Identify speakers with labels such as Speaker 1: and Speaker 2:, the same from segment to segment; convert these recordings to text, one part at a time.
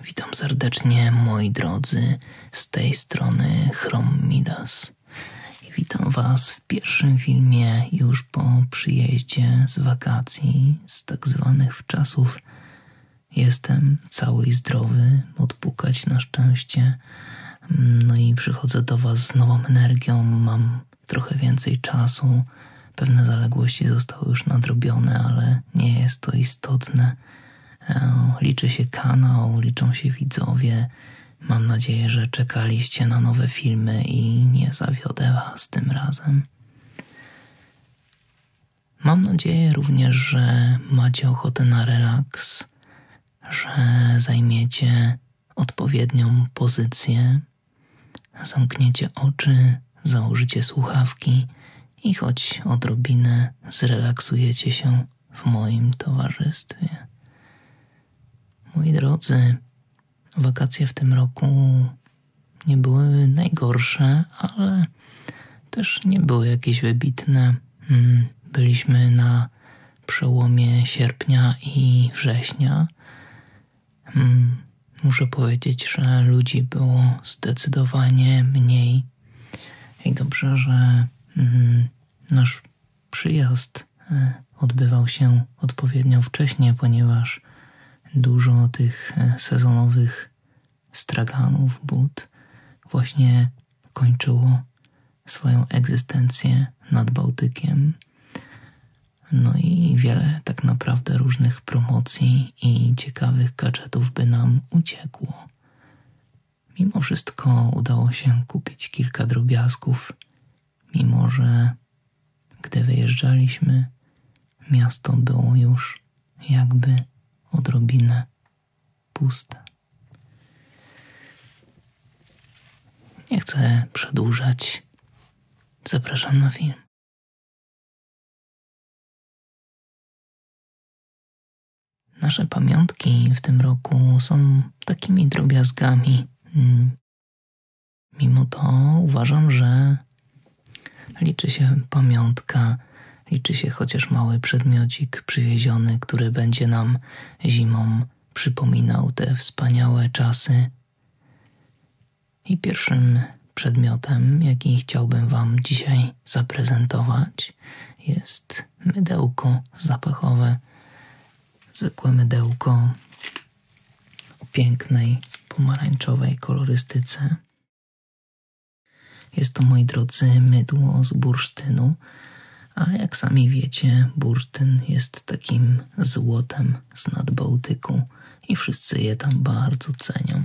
Speaker 1: Witam serdecznie moi drodzy, z tej strony Chrom Midas. Witam Was w pierwszym filmie już po przyjeździe z wakacji, z tak zwanych czasów Jestem cały i zdrowy, odpukać na szczęście. No i przychodzę do Was z nową energią, mam trochę więcej czasu. Pewne zaległości zostały już nadrobione, ale nie jest to istotne. E, liczy się kanał, liczą się widzowie. Mam nadzieję, że czekaliście na nowe filmy i nie zawiodę Was tym razem. Mam nadzieję również, że macie ochotę na relaks, że zajmiecie odpowiednią pozycję, zamkniecie oczy, założycie słuchawki i choć odrobinę zrelaksujecie się w moim towarzystwie. Moi drodzy, wakacje w tym roku nie były najgorsze, ale też nie były jakieś wybitne. Mm, byliśmy na przełomie sierpnia i września. Mm, muszę powiedzieć, że ludzi było zdecydowanie mniej. I dobrze, że mm, nasz przyjazd e, odbywał się odpowiednio wcześnie, ponieważ dużo tych e, sezonowych straganów, but właśnie kończyło swoją egzystencję nad Bałtykiem. No i wiele tak naprawdę różnych promocji i ciekawych gadżetów by nam uciekło. Mimo wszystko udało się kupić kilka drobiazgów, mimo że gdy wyjeżdżaliśmy, Miasto było już jakby odrobinę puste. Nie chcę przedłużać. Zapraszam na film. Nasze pamiątki w tym roku są takimi drobiazgami. Mm. Mimo to uważam, że Liczy się pamiątka, liczy się chociaż mały przedmiocik przywieziony, który będzie nam zimą przypominał te wspaniałe czasy. I pierwszym przedmiotem, jaki chciałbym Wam dzisiaj zaprezentować, jest mydełko zapachowe. Zwykłe mydełko o pięknej pomarańczowej kolorystyce. Jest to, moi drodzy, mydło z bursztynu, a jak sami wiecie, bursztyn jest takim złotem z nad Bałtyku i wszyscy je tam bardzo cenią.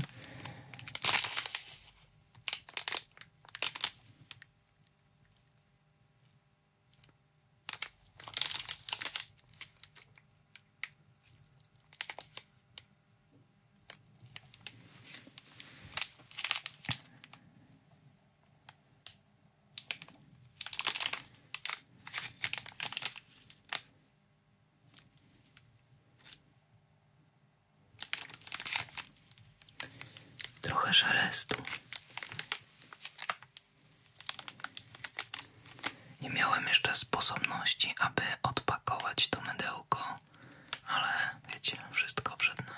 Speaker 1: Trochę szelestu. Nie miałem jeszcze sposobności, aby odpakować to mydełko ale wiecie, wszystko przed nami.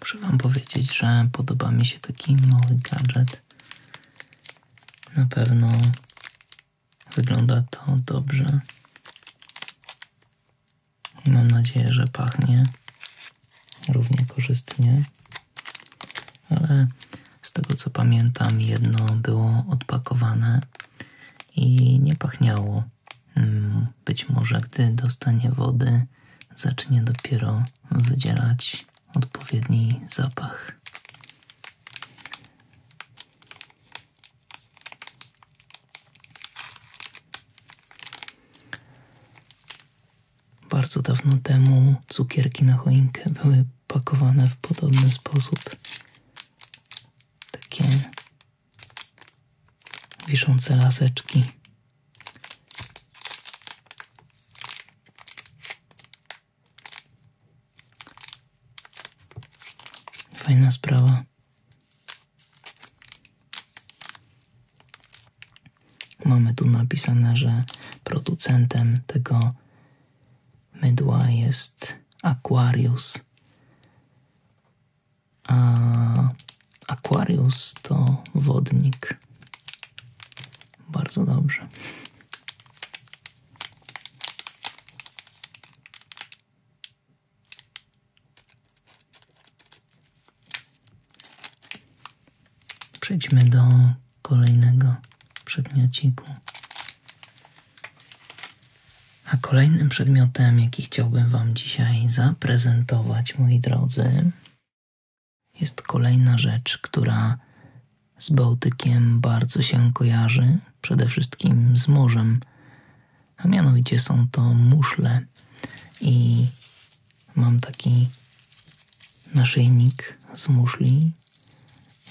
Speaker 1: Muszę Wam powiedzieć, że podoba mi się taki mały gadżet. Na pewno wygląda to dobrze. Mam nadzieję, że pachnie równie korzystnie. Ale z tego co pamiętam, jedno było odpakowane i nie pachniało. Mm, być może gdy dostanie wody, zacznie dopiero wydzielać odpowiedni zapach. Bardzo dawno temu cukierki na choinkę były pakowane w podobny sposób. Takie wiszące laseczki Fajna sprawa. Mamy tu napisane, że producentem tego mydła jest Aquarius. A Aquarius to wodnik. Bardzo dobrze. Przejdźmy do kolejnego przedmiociku. A kolejnym przedmiotem, jaki chciałbym Wam dzisiaj zaprezentować, moi drodzy, jest kolejna rzecz, która z Bałtykiem bardzo się kojarzy, przede wszystkim z morzem, a mianowicie są to muszle. I mam taki naszyjnik z muszli.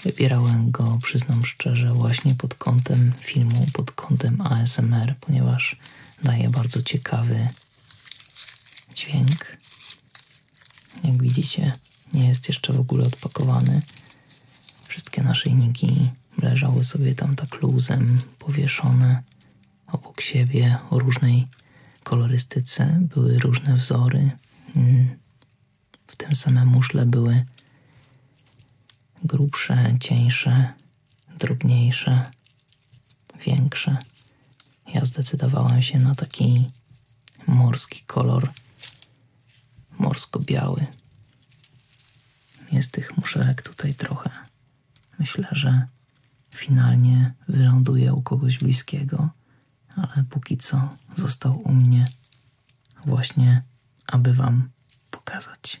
Speaker 1: Wybierałem go, przyznam szczerze, właśnie pod kątem filmu, pod kątem ASMR, ponieważ daje bardzo ciekawy Dźwięk, jak widzicie, nie jest jeszcze w ogóle odpakowany. Wszystkie naszyjniki leżały sobie tam tak luzem, powieszone obok siebie o różnej kolorystyce. Były różne wzory. Mm. W tym samym muszle były grubsze, cieńsze, drobniejsze, większe. Ja zdecydowałem się na taki morski kolor, morsko-biały. Jest tych muszelek tutaj trochę. Myślę, że finalnie wyląduje u kogoś bliskiego, ale póki co został u mnie właśnie, aby Wam pokazać.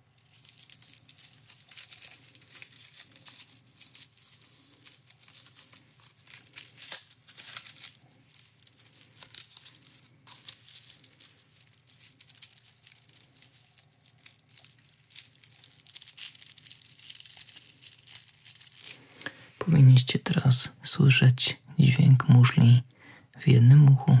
Speaker 1: Powinniście teraz słyszeć dźwięk muszli w jednym uchu.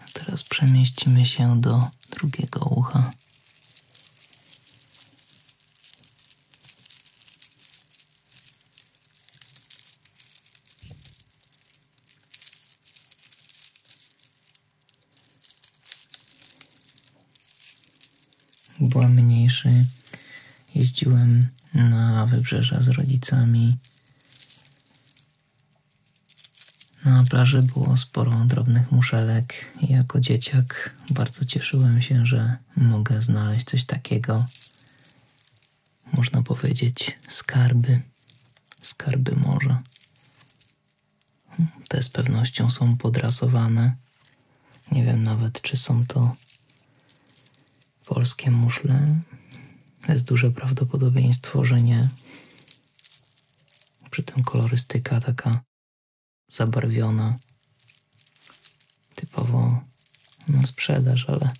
Speaker 1: A teraz przemieścimy się do drugiego ucha. Byłem mniejszy, jeździłem na wybrzeża z rodzicami. Na plaży było sporo drobnych muszelek. Jako dzieciak bardzo cieszyłem się, że mogę znaleźć coś takiego. Można powiedzieć skarby, skarby morza. Te z pewnością są podrasowane. Nie wiem nawet, czy są to polskie muszle. Jest duże prawdopodobieństwo, że nie. Przy tym kolorystyka taka zabarwiona. Typowo na sprzedaż, ale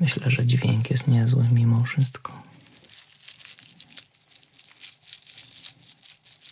Speaker 1: myślę, że dźwięk jest niezły mimo wszystko.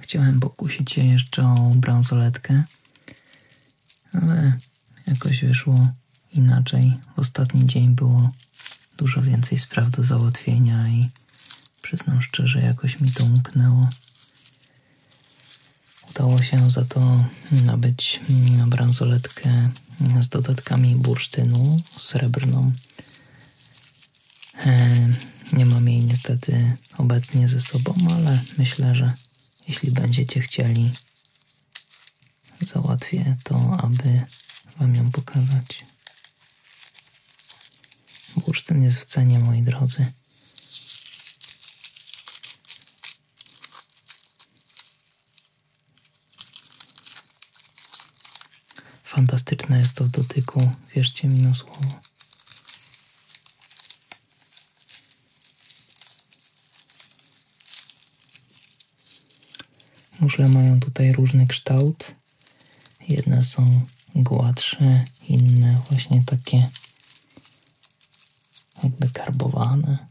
Speaker 1: Chciałem pokusić się jeszcze o bransoletkę, ale jakoś wyszło inaczej. W ostatni dzień było dużo więcej spraw do załatwienia i przyznam szczerze, jakoś mi to umknęło. Udało się za to nabyć bransoletkę z dodatkami bursztynu srebrną. E, nie mam jej niestety obecnie ze sobą, ale myślę, że jeśli będziecie chcieli, załatwię to, aby Wam ją pokazać. Bursztyn jest w cenie, moi drodzy. Fantastyczne jest to w dotyku, wierzcie mi na słowo. Muszle mają tutaj różny kształt. Jedne są gładsze, inne właśnie takie jakby karbowane.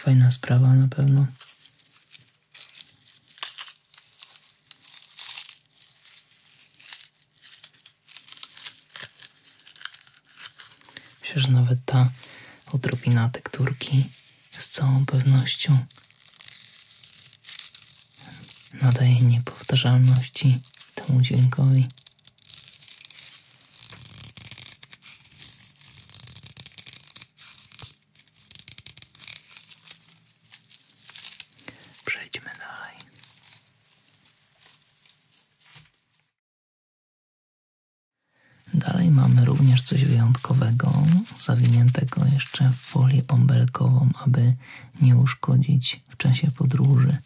Speaker 1: Fajna sprawa na pewno. Myślę, nawet ta odrobina tekturki z całą pewnością nadaje niepowtarzalności temu dźwiękowi. Przejdźmy dalej. Dalej mamy również coś wyjątkowego, zawiniętego jeszcze w folię bąbelkową, aby nie uszkodzić w czasie podróży.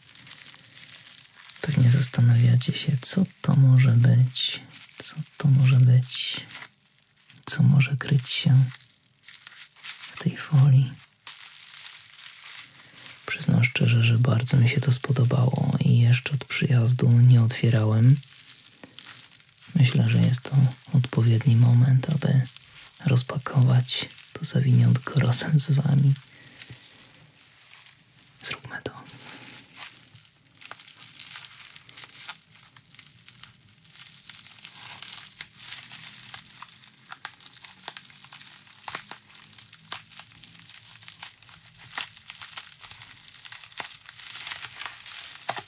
Speaker 1: Pewnie zastanawiacie się, co to może być, co to może być, co może kryć się w tej folii. Przyznam szczerze, że bardzo mi się to spodobało i jeszcze od przyjazdu nie otwierałem. Myślę, że jest to odpowiedni moment, aby rozpakować to zawiniątko razem z Wami. Zróbmy to.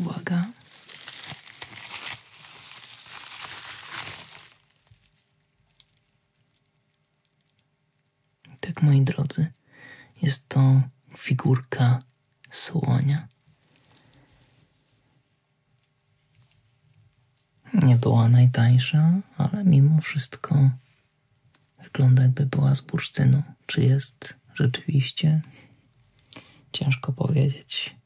Speaker 1: Uwaga. Tak, moi drodzy, jest to figurka słonia. Nie była najtańsza, ale mimo wszystko Wygląda jakby była z bursztynu. Czy jest rzeczywiście? Ciężko powiedzieć.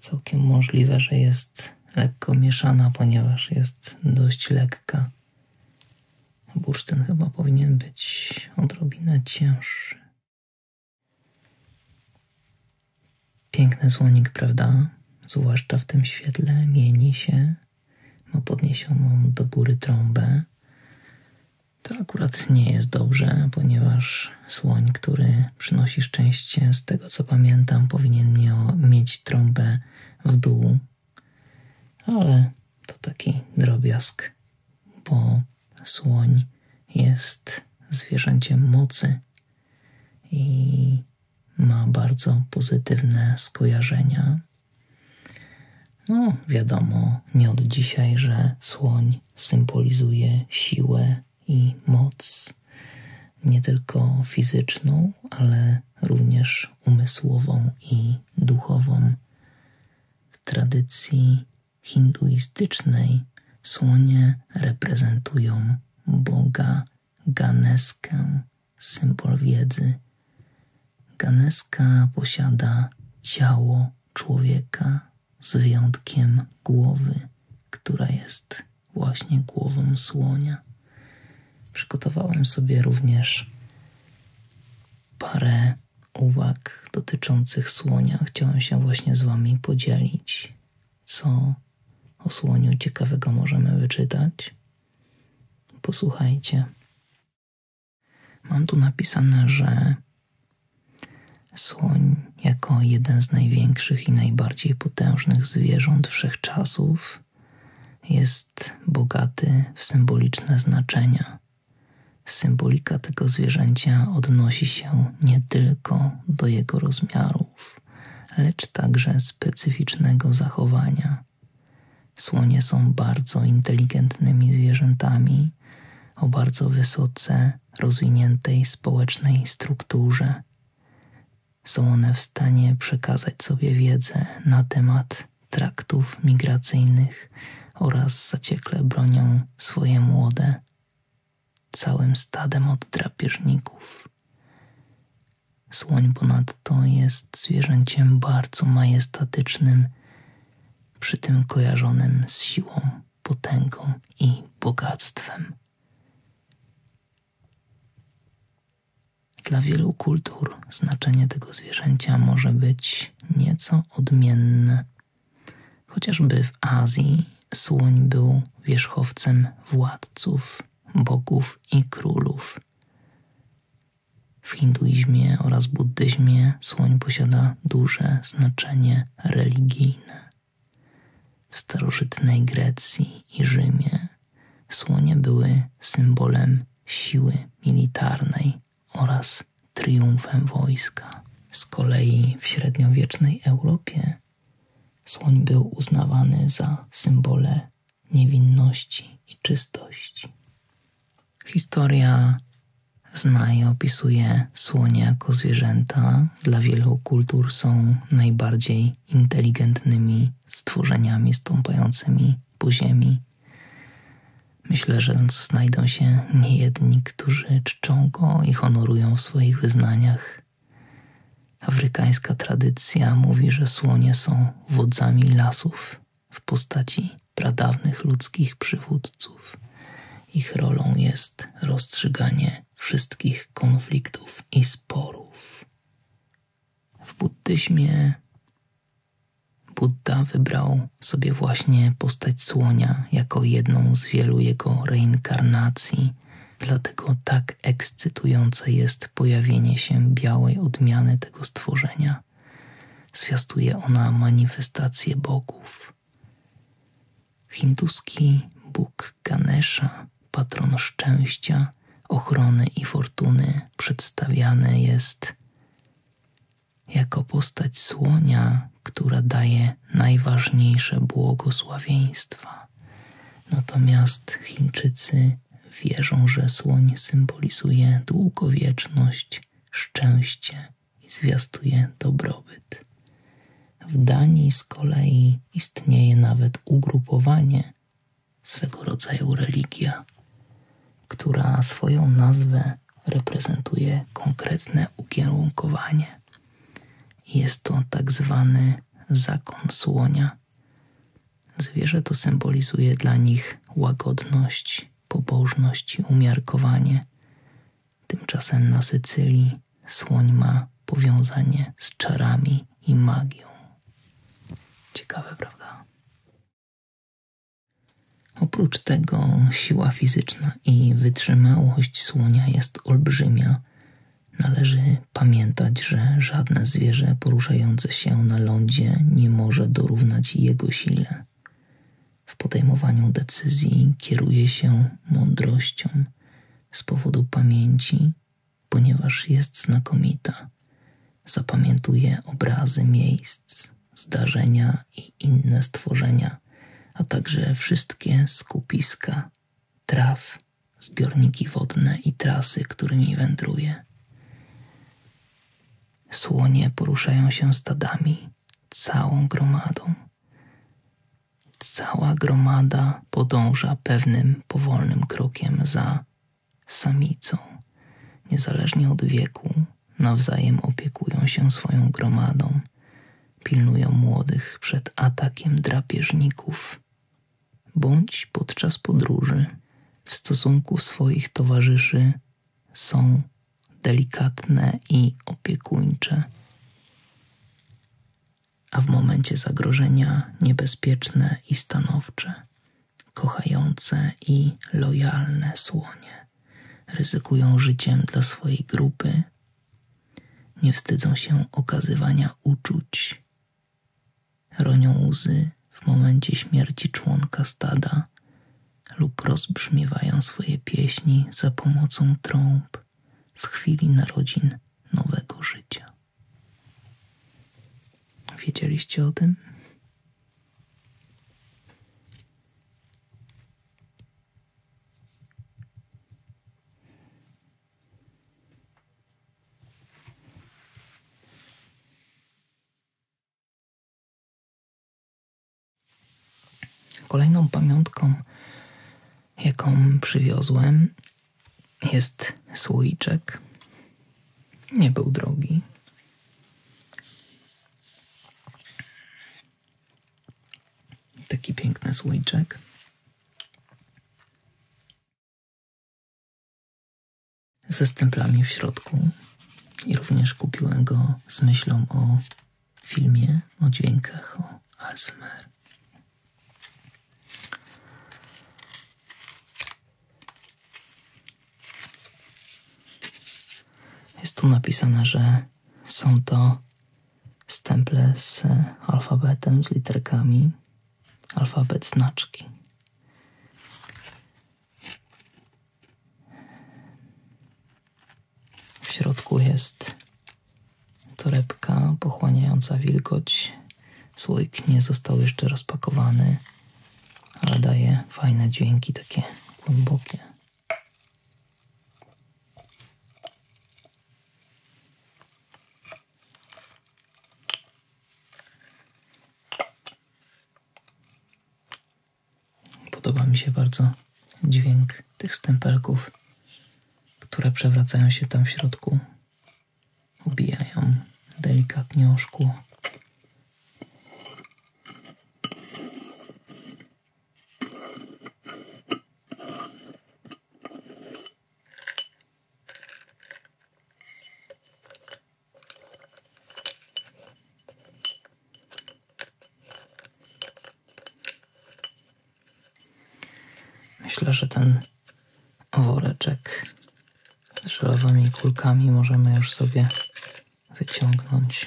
Speaker 1: Całkiem możliwe, że jest lekko mieszana, ponieważ jest dość lekka. Bursztyn chyba powinien być odrobinę cięższy. Piękny słonik, prawda? Zwłaszcza w tym świetle mieni się ma no, podniesioną do góry trąbę. To akurat nie jest dobrze, ponieważ słoń, który przynosi szczęście, z tego co pamiętam, powinien mieć trąbę w dół, ale to taki drobiazg, bo słoń jest zwierzęciem mocy i ma bardzo pozytywne skojarzenia no, wiadomo, nie od dzisiaj, że słoń symbolizuje siłę i moc, nie tylko fizyczną, ale również umysłową i duchową. W tradycji hinduistycznej słonie reprezentują Boga Ganeskę, symbol wiedzy. Ganeska posiada ciało człowieka z wyjątkiem głowy, która jest właśnie głową słonia. Przygotowałem sobie również parę uwag dotyczących słonia. Chciałem się właśnie z Wami podzielić, co o słoniu ciekawego możemy wyczytać. Posłuchajcie. Mam tu napisane, że słoń jako jeden z największych i najbardziej potężnych zwierząt wszechczasów jest bogaty w symboliczne znaczenia. Symbolika tego zwierzęcia odnosi się nie tylko do jego rozmiarów, lecz także specyficznego zachowania, Słonie są bardzo inteligentnymi zwierzętami o bardzo wysoce rozwiniętej społecznej strukturze. Są one w stanie przekazać sobie wiedzę na temat traktów migracyjnych oraz zaciekle bronią swoje młode, całym stadem od drapieżników. Słoń ponadto jest zwierzęciem bardzo majestatycznym, przy tym kojarzonym z siłą, potęgą i bogactwem. Dla wielu kultur znaczenie tego zwierzęcia może być nieco odmienne. Chociażby w Azji słoń był wierzchowcem władców, bogów i królów. W hinduizmie oraz buddyzmie słoń posiada duże znaczenie religijne. W starożytnej Grecji i Rzymie słonie były symbolem siły militarnej oraz triumfem wojska. Z kolei w średniowiecznej Europie słoń był uznawany za symbole niewinności i czystości. Historia zna i opisuje słonie jako zwierzęta. Dla wielu kultur są najbardziej inteligentnymi stworzeniami stąpającymi po ziemi. Myślę, że znajdą się niejedni, którzy czczą go i honorują w swoich wyznaniach. Afrykańska tradycja mówi, że słonie są wodzami lasów w postaci pradawnych ludzkich przywódców. Ich rolą jest rozstrzyganie wszystkich konfliktów i sporów. W buddyzmie Buddha wybrał sobie właśnie postać słonia jako jedną z wielu jego reinkarnacji, dlatego tak ekscytujące jest pojawienie się białej odmiany tego stworzenia. Zwiastuje ona manifestację bogów. Hinduski Bóg Ganesha, patron szczęścia, ochrony i fortuny, przedstawiany jest jako postać słonia, która daje najważniejsze błogosławieństwa. Natomiast Chińczycy wierzą, że słoń symbolizuje długowieczność, szczęście i zwiastuje dobrobyt. W Danii z kolei istnieje nawet ugrupowanie, swego rodzaju religia, która swoją nazwę reprezentuje konkretne ukierunkowanie. Jest to tak zwany zakon słonia, Zwierzę to symbolizuje dla nich łagodność, pobożność i umiarkowanie. Tymczasem na Sycylii słoń ma powiązanie z czarami i magią. Ciekawe, prawda? Oprócz tego siła fizyczna i wytrzymałość słonia jest olbrzymia. Należy pamiętać, że żadne zwierzę poruszające się na lądzie nie może dorównać jego sile. W podejmowaniu decyzji kieruje się mądrością z powodu pamięci, ponieważ jest znakomita. Zapamiętuje obrazy miejsc, zdarzenia i inne stworzenia, a także wszystkie skupiska, traw zbiorniki wodne i trasy, którymi wędruje. Słonie poruszają się stadami, całą gromadą. Cała gromada podąża pewnym powolnym krokiem za samicą. Niezależnie od wieku, nawzajem opiekują się swoją gromadą, pilnują młodych przed atakiem drapieżników bądź podczas podróży w stosunku swoich towarzyszy są delikatne i opiekuńcze, a w momencie zagrożenia niebezpieczne i stanowcze, kochające i lojalne słonie. Ryzykują życiem dla swojej grupy, nie wstydzą się okazywania uczuć ronią łzy w momencie śmierci członka stada lub rozbrzmiewają swoje pieśni za pomocą trąb w chwili narodzin nowego życia. Wiedzieliście o tym? Kolejną pamiątką, jaką przywiozłem, jest słoiczek. Nie był drogi. Taki piękny słoiczek ze stemplami w środku i również kupiłem go z myślą o filmie, o dźwiękach, o ASMR. Jest tu napisane, że są to stemple z alfabetem, z literkami alfabet znaczki. W środku jest torebka pochłaniająca wilgoć. Słoik nie został jeszcze rozpakowany, ale daje fajne dźwięki, takie głębokie. Podoba mi się bardzo dźwięk tych stempelków, które przewracają się tam w środku, obijają delikatnie o Myślę, że ten woreczek z żelowymi kulkami możemy już sobie wyciągnąć.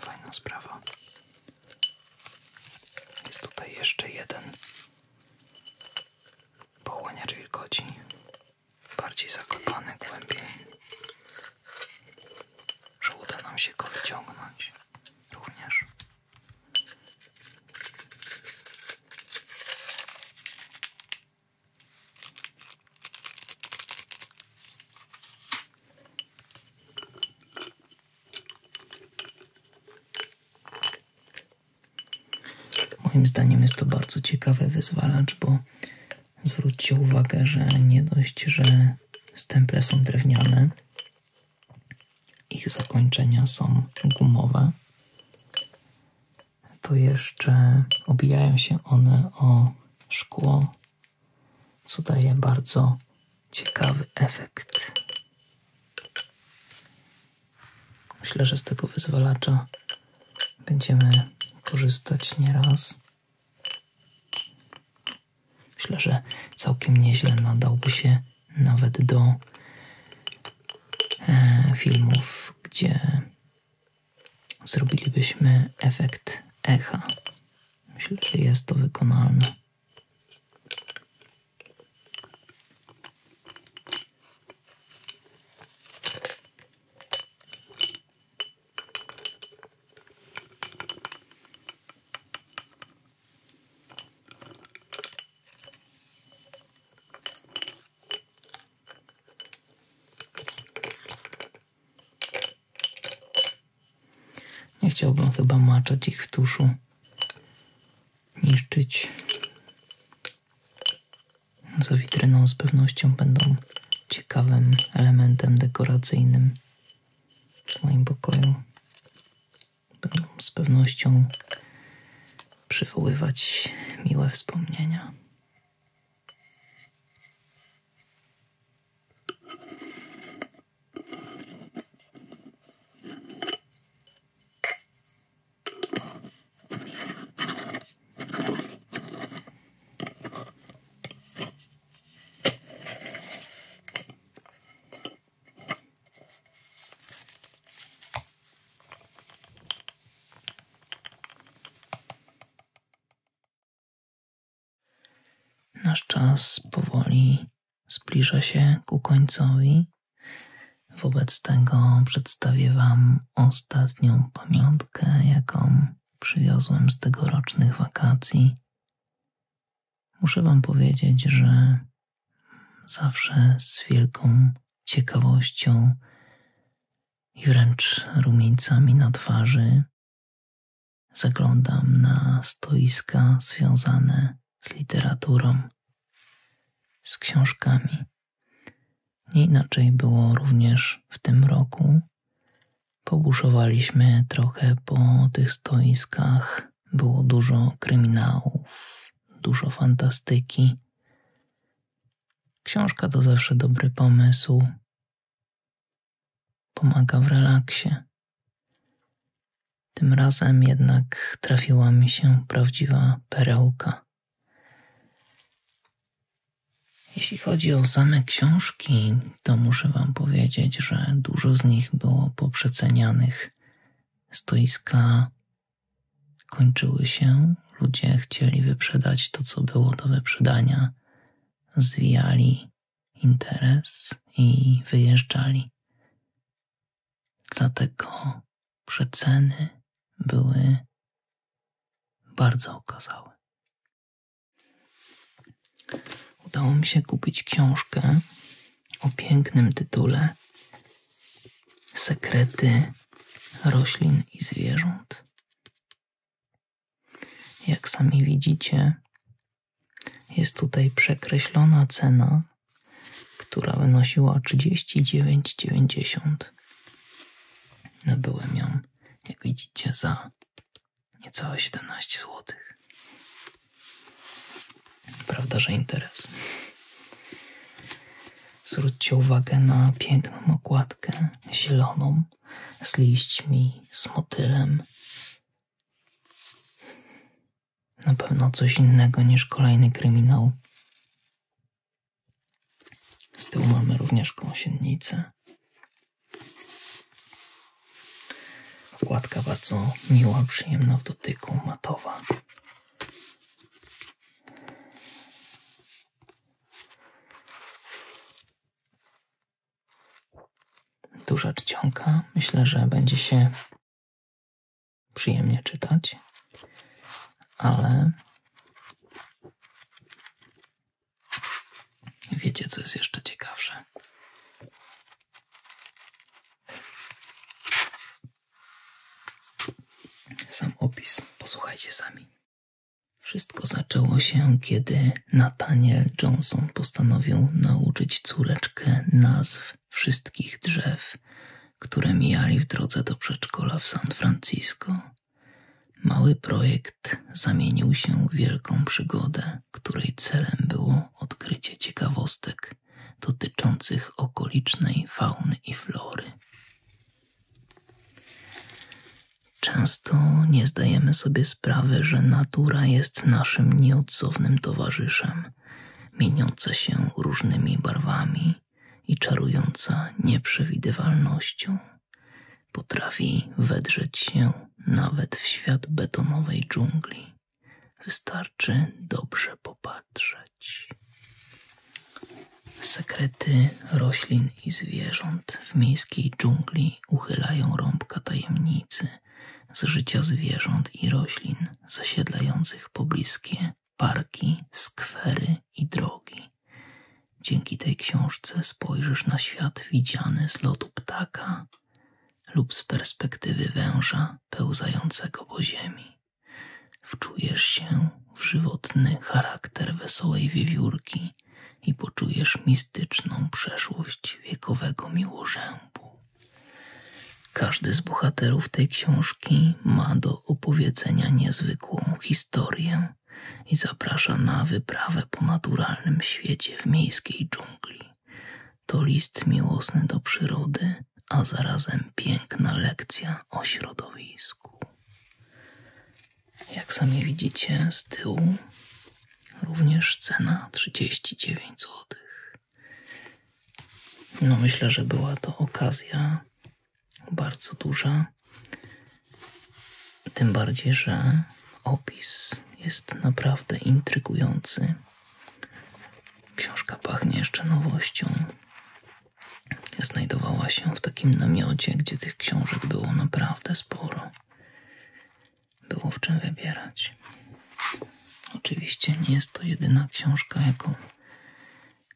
Speaker 1: Fajna sprawa. Jest tutaj jeszcze jeden pochłaniacz wilgoci, bardziej zakopany głębiej, że uda nam się go wyciągnąć Moim zdaniem jest to bardzo ciekawy wyzwalacz, bo zwróćcie uwagę, że nie dość, że stemple są drewniane, ich zakończenia są gumowe. To jeszcze obijają się one o szkło, co daje bardzo ciekawy efekt. Myślę, że z tego wyzwalacza będziemy korzystać nieraz. Myślę, że całkiem nieźle nadałby się nawet do e, filmów, gdzie zrobilibyśmy efekt echa. Myślę, że jest to wykonalne. Nie chciałbym chyba maczać ich w tuszu, niszczyć. Za witryną z pewnością będą ciekawym elementem dekoracyjnym w moim pokoju będą z pewnością przywoływać miłe wspomnienia. Nasz czas powoli zbliża się ku końcowi. Wobec tego przedstawię Wam ostatnią pamiątkę, jaką przywiozłem z tegorocznych wakacji. Muszę Wam powiedzieć, że zawsze z wielką ciekawością i wręcz rumieńcami na twarzy zaglądam na stoiska związane z literaturą, z książkami. Nie inaczej było również w tym roku. Pobuszowaliśmy trochę po tych stoiskach było dużo kryminałów, dużo fantastyki. Książka to zawsze dobry pomysł. Pomaga w relaksie. Tym razem jednak trafiła mi się prawdziwa perełka. Jeśli chodzi o same książki, to muszę Wam powiedzieć, że dużo z nich było poprzecenianych. Stoiska kończyły się, ludzie chcieli wyprzedać to, co było do wyprzedania, zwijali interes i wyjeżdżali. Dlatego przeceny były bardzo okazałe. Udało mi się kupić książkę o pięknym tytule Sekrety roślin i zwierząt. Jak sami widzicie, jest tutaj przekreślona cena, która wynosiła 39,90. Nabyłem ją, jak widzicie, za niecałe 17 zł. Prawda, że interes. Zwróćcie uwagę na piękną okładkę zieloną z liśćmi, z motylem. Na pewno coś innego niż kolejny kryminał. Z tyłu mamy również kąsienicę Okładka bardzo miła, przyjemna w dotyku, matowa. Duża czcionka. Myślę, że będzie się przyjemnie czytać, ale wiecie, co jest jeszcze ciekawsze. Sam opis, posłuchajcie sami. Wszystko zaczęło się, kiedy Nataniel Johnson postanowił nauczyć córeczkę nazw wszystkich drzew, które mijali w drodze do przedszkola w San Francisco. Mały projekt zamienił się w wielką przygodę, której celem było odkrycie ciekawostek dotyczących okolicznej fauny i flory. Często nie zdajemy sobie sprawy, że natura jest naszym nieodzownym towarzyszem, mieniąca się różnymi barwami i czarująca nieprzewidywalnością. Potrafi wedrzeć się nawet w świat betonowej dżungli. Wystarczy dobrze popatrzeć. Sekrety roślin i zwierząt w miejskiej dżungli uchylają rąbka tajemnicy z życia zwierząt i roślin zasiedlających pobliskie parki, skwery i drogi. Dzięki tej książce spojrzysz na świat widziany z lotu ptaka lub z perspektywy węża pełzającego po ziemi. Wczujesz się w żywotny charakter wesołej wiewiórki i poczujesz mistyczną przeszłość wiekowego miłożębu. Każdy z bohaterów tej książki ma do opowiedzenia niezwykłą historię i zaprasza na wyprawę po naturalnym świecie w miejskiej dżungli. To list miłosny do przyrody, a zarazem piękna lekcja o środowisku. Jak sami widzicie z tyłu, również cena 39 zł. No myślę, że była to okazja bardzo duża. Tym bardziej, że opis jest naprawdę intrygujący. Książka pachnie jeszcze nowością. Znajdowała się w takim namiocie, gdzie tych książek było naprawdę sporo. Było w czym wybierać. Oczywiście nie jest to jedyna książka, jaką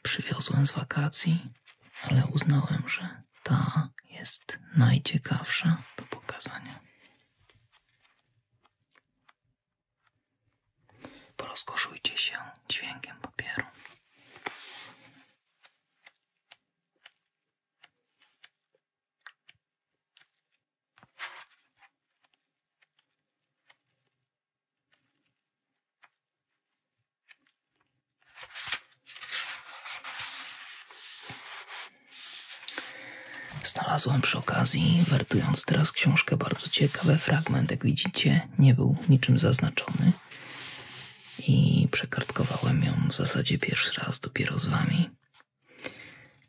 Speaker 1: przywiozłem z wakacji, ale uznałem, że ta jest najciekawsza do pokazania. Porozkoszujcie się dźwiękiem papieru. Znalazłem przy okazji, wertując teraz książkę, bardzo ciekawy fragment. Jak widzicie, nie był niczym zaznaczony i przekartkowałem ją w zasadzie pierwszy raz dopiero z Wami.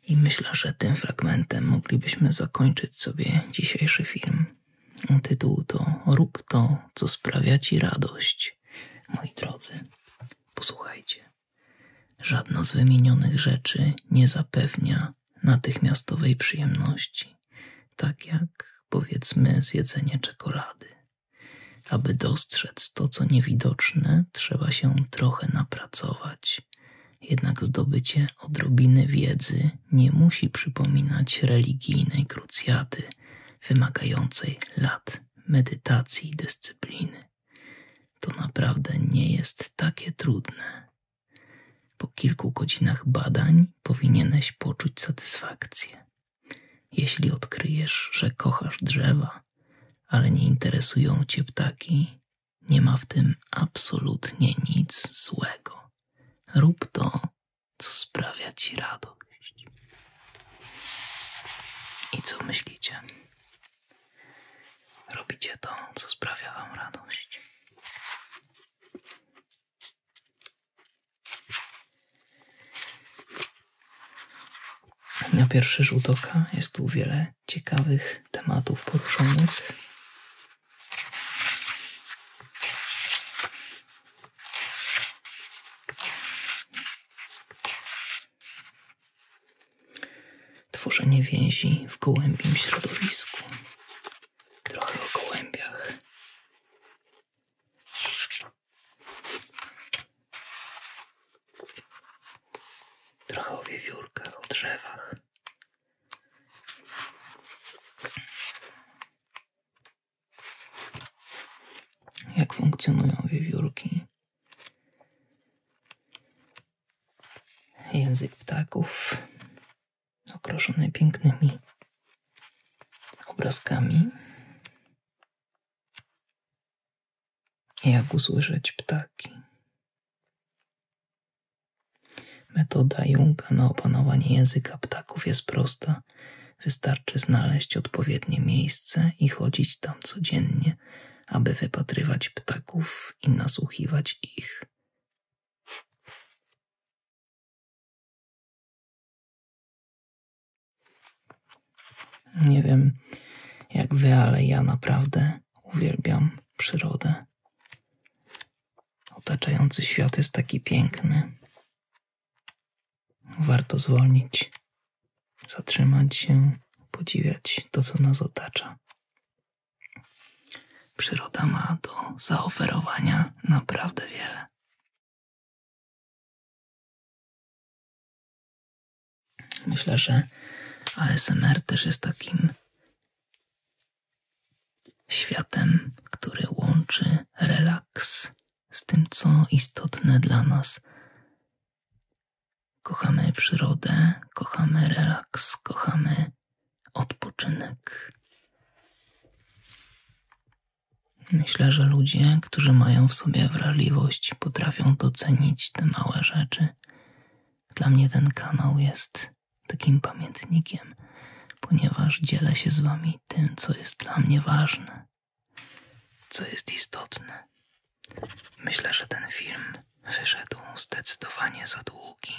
Speaker 1: I myślę, że tym fragmentem moglibyśmy zakończyć sobie dzisiejszy film. Tytuł to Rób to, co sprawia Ci radość. Moi drodzy, posłuchajcie. Żadna z wymienionych rzeczy nie zapewnia natychmiastowej przyjemności, tak jak powiedzmy zjedzenie czekolady. Aby dostrzec to, co niewidoczne, trzeba się trochę napracować. Jednak zdobycie odrobiny wiedzy nie musi przypominać religijnej krucjaty wymagającej lat medytacji i dyscypliny. To naprawdę nie jest takie trudne. Po kilku godzinach badań powinieneś poczuć satysfakcję. Jeśli odkryjesz, że kochasz drzewa, ale nie interesują cię ptaki, nie ma w tym absolutnie nic złego. Rób to, co sprawia ci radość. I co myślicie? Robicie to, co sprawia Wam radość. Na pierwszy rzut oka jest tu wiele ciekawych tematów poruszonych. Tworzenie więzi w gołębim środowisku. Trochę o gołębiach. Trochę o wiewiórkach, o drzewach. Jak funkcjonują wiewiórki? Język ptaków, okroszony pięknymi obrazkami. Jak usłyszeć ptaki? Metoda Junga na opanowanie języka ptaków jest prosta. Wystarczy znaleźć odpowiednie miejsce i chodzić tam codziennie aby wypatrywać ptaków i nasłuchiwać ich. Nie wiem jak wy, ale ja naprawdę uwielbiam przyrodę. Otaczający świat jest taki piękny. Warto zwolnić zatrzymać się, podziwiać to, co nas otacza. Przyroda ma do zaoferowania naprawdę wiele. Myślę, że ASMR też jest takim światem, który łączy relaks z tym, co istotne dla nas Kochamy przyrodę, kochamy relaks, kochamy odpoczynek. Myślę, że ludzie, którzy mają w sobie wrażliwość, potrafią docenić te małe rzeczy. Dla mnie ten kanał jest takim pamiętnikiem, ponieważ dzielę się z Wami tym, co jest dla mnie ważne. Co jest istotne, myślę, że ten film wyszedł zdecydowanie za długi.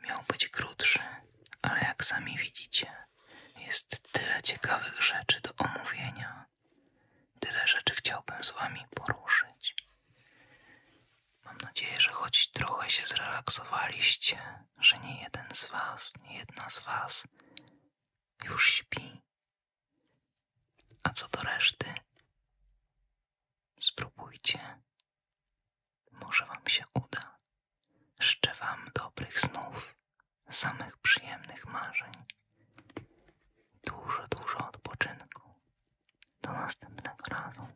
Speaker 1: Miał być krótszy, ale jak sami widzicie, jest tyle ciekawych rzeczy do omówienia. Tyle rzeczy chciałbym z Wami poruszyć. Mam nadzieję, że choć trochę się zrelaksowaliście, że nie jeden z Was, nie jedna z Was już śpi a co do reszty, spróbujcie. Może Wam się uda. Życzę Wam dobrych snów, samych przyjemnych marzeń, dużo, dużo odpoczynku. Do następnego razu.